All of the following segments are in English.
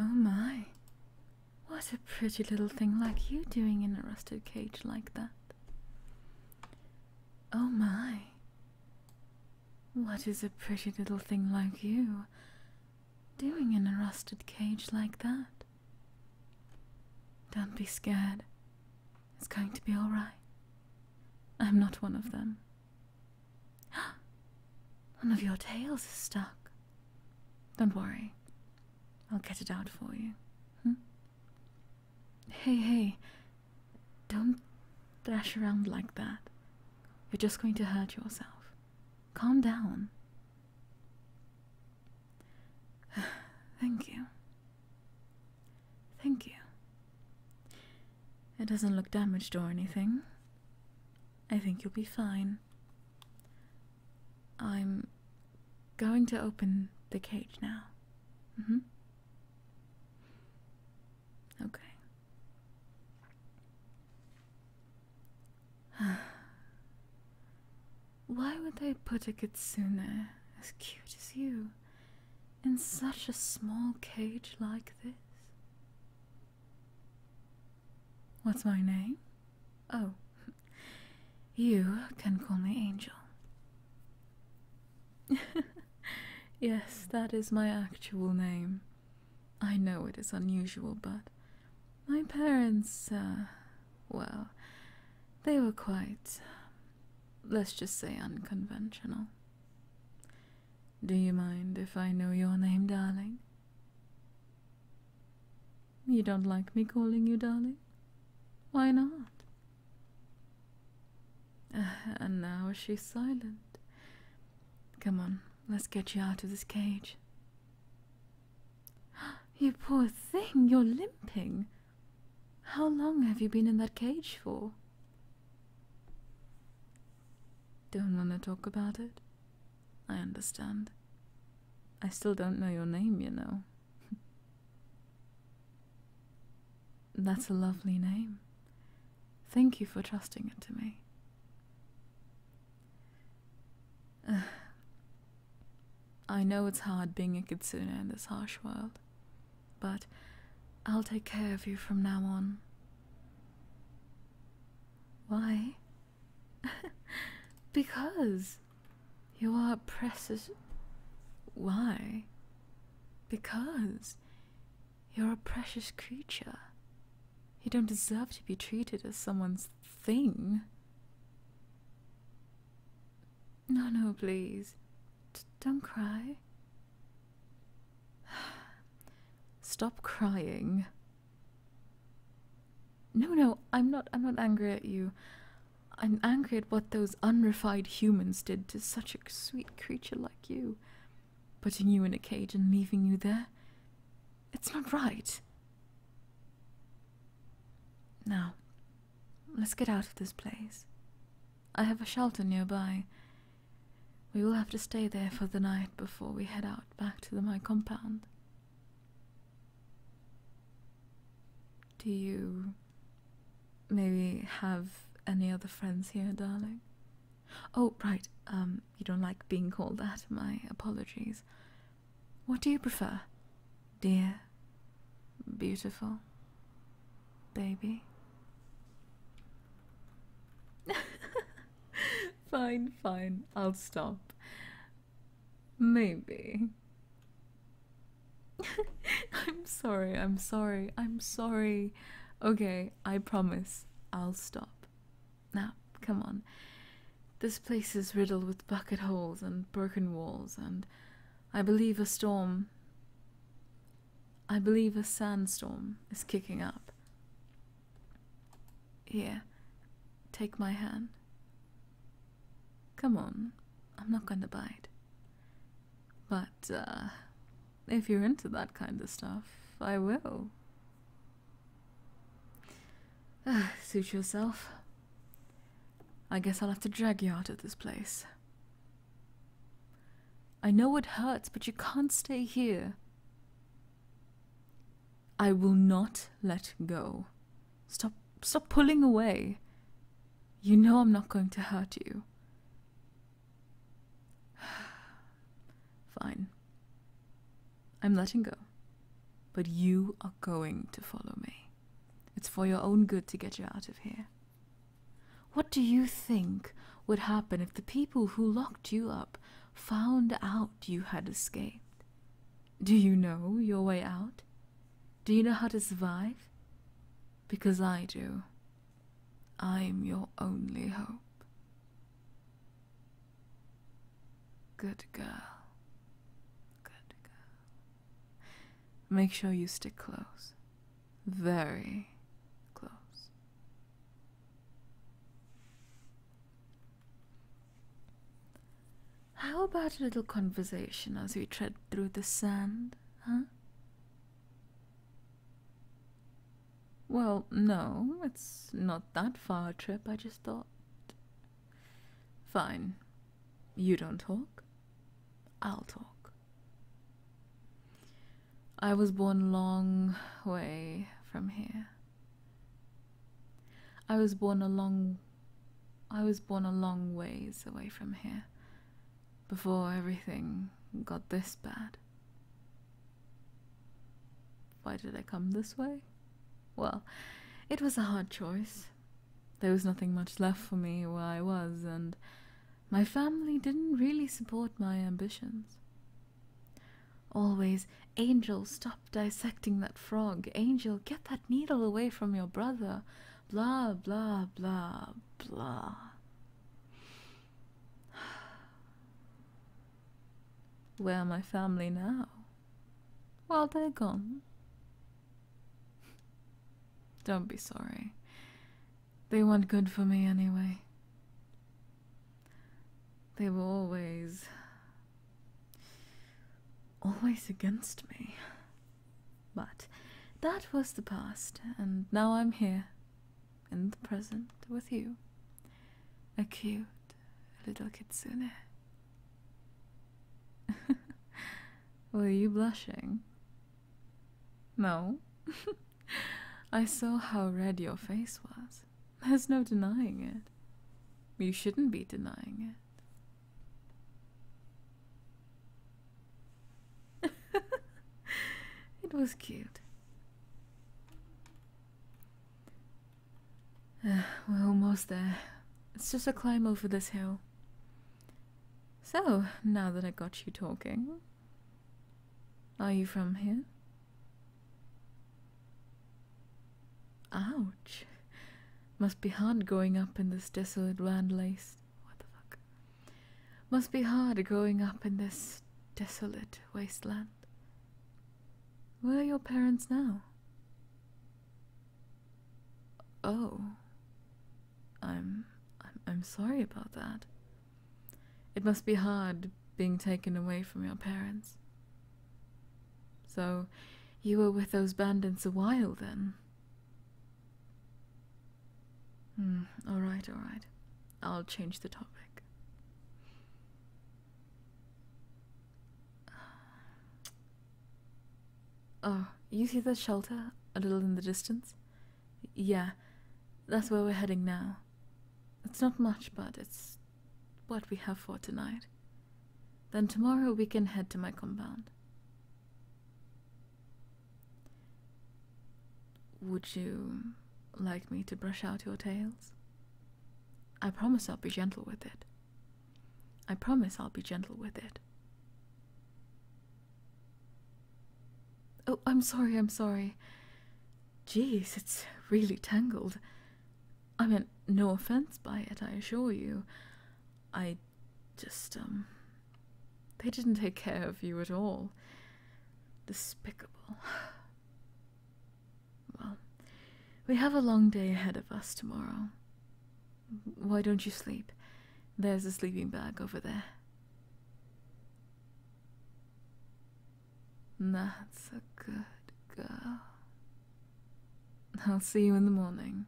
Oh my, what a pretty little thing like you doing in a rusted cage like that. Oh my, what is a pretty little thing like you doing in a rusted cage like that? Don't be scared. It's going to be alright. I'm not one of them. one of your tails is stuck. Don't worry. I'll get it out for you. Hmm? Hey, hey. Don't thrash around like that. You're just going to hurt yourself. Calm down. Thank you. Thank you. It doesn't look damaged or anything. I think you'll be fine. I'm going to open the cage now. Mm-hmm. Okay. Why would they put a kitsune as cute as you in such a small cage like this? What's my name? Oh, you can call me Angel. yes, that is my actual name. I know it is unusual, but my parents, uh, well, they were quite, let's just say, unconventional. Do you mind if I know your name, darling? You don't like me calling you darling? Why not? And now she's silent. Come on, let's get you out of this cage. You poor thing, you're limping. How long have you been in that cage for? Don't want to talk about it? I understand. I still don't know your name, you know. That's a lovely name. Thank you for trusting it to me. I know it's hard being a kitsune in this harsh world, but I'll take care of you from now on. Why? because you are precious. Why? Because you're a precious creature. You don't deserve to be treated as someone's thing. No, no, please. don't cry. Stop crying. No, no, I'm not I'm not angry at you. I'm angry at what those unrefined humans did to such a sweet creature like you. Putting you in a cage and leaving you there. It's not right. Now, Let's get out of this place. I have a shelter nearby. We will have to stay there for the night before we head out back to my compound. Do you maybe have any other friends here, darling? Oh, right. Um, you don't like being called that. My apologies. What do you prefer? Dear, beautiful, baby? fine, fine, I'll stop. Maybe. I'm sorry, I'm sorry, I'm sorry. Okay, I promise I'll stop. Now, come on. This place is riddled with bucket holes and broken walls, and I believe a storm. I believe a sandstorm is kicking up. Here, take my hand. Come on, I'm not going to bite. But, uh, if you're into that kind of stuff, I will. Suit yourself. I guess I'll have to drag you out of this place. I know it hurts, but you can't stay here. I will not let go. Stop stop pulling away. You know I'm not going to hurt you. Fine. I'm letting go. But you are going to follow me. It's for your own good to get you out of here. What do you think would happen if the people who locked you up found out you had escaped? Do you know your way out? Do you know how to survive? Because I do. I'm your only hope. Good girl. Make sure you stick close. Very close. How about a little conversation as we tread through the sand, huh? Well, no, it's not that far a trip, I just thought. Fine, you don't talk? I'll talk. I was born a long way from here. I was born a long I was born a long ways away from here before everything got this bad. Why did I come this way? Well, it was a hard choice. There was nothing much left for me where I was, and my family didn't really support my ambitions. Always, Angel, stop dissecting that frog. Angel, get that needle away from your brother. Blah, blah, blah, blah. Where are my family now? Well, they're gone. Don't be sorry. They weren't good for me anyway. They were always. always against me. But that was the past, and now I'm here, in the present, with you. A cute little kitsune. Were you blushing? No. I saw how red your face was. There's no denying it. You shouldn't be denying it. it was cute. We're almost there. It's just a climb over this hill. So, now that I got you talking, are you from here? Ouch. Must be hard growing up in this desolate landlace. What the fuck? Must be hard growing up in this desolate wasteland. Where are your parents now? Oh. I'm I'm I'm sorry about that. It must be hard being taken away from your parents. So, you were with those bandits a while then? Hmm, alright, alright. I'll change the topic. Oh, you see that shelter a little in the distance? Yeah, that's where we're heading now. It's not much, but it's what we have for tonight. Then tomorrow we can head to my compound. Would you like me to brush out your tails? I promise I'll be gentle with it. I promise I'll be gentle with it. Oh, I'm sorry, I'm sorry. Jeez, it's really tangled. I meant no offense by it, I assure you. I just, um. They didn't take care of you at all. Despicable. Well, we have a long day ahead of us tomorrow. Why don't you sleep? There's a sleeping bag over there. That's a good girl. I'll see you in the morning.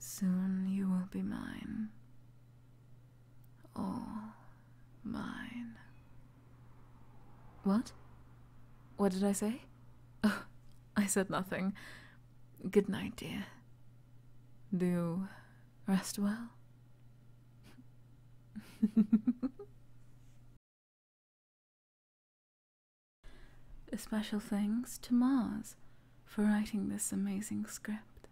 Soon you will be mine all mine. What? What did I say? Oh, I said nothing. Good night, dear. Do you rest well? A special thanks to Mars for writing this amazing script.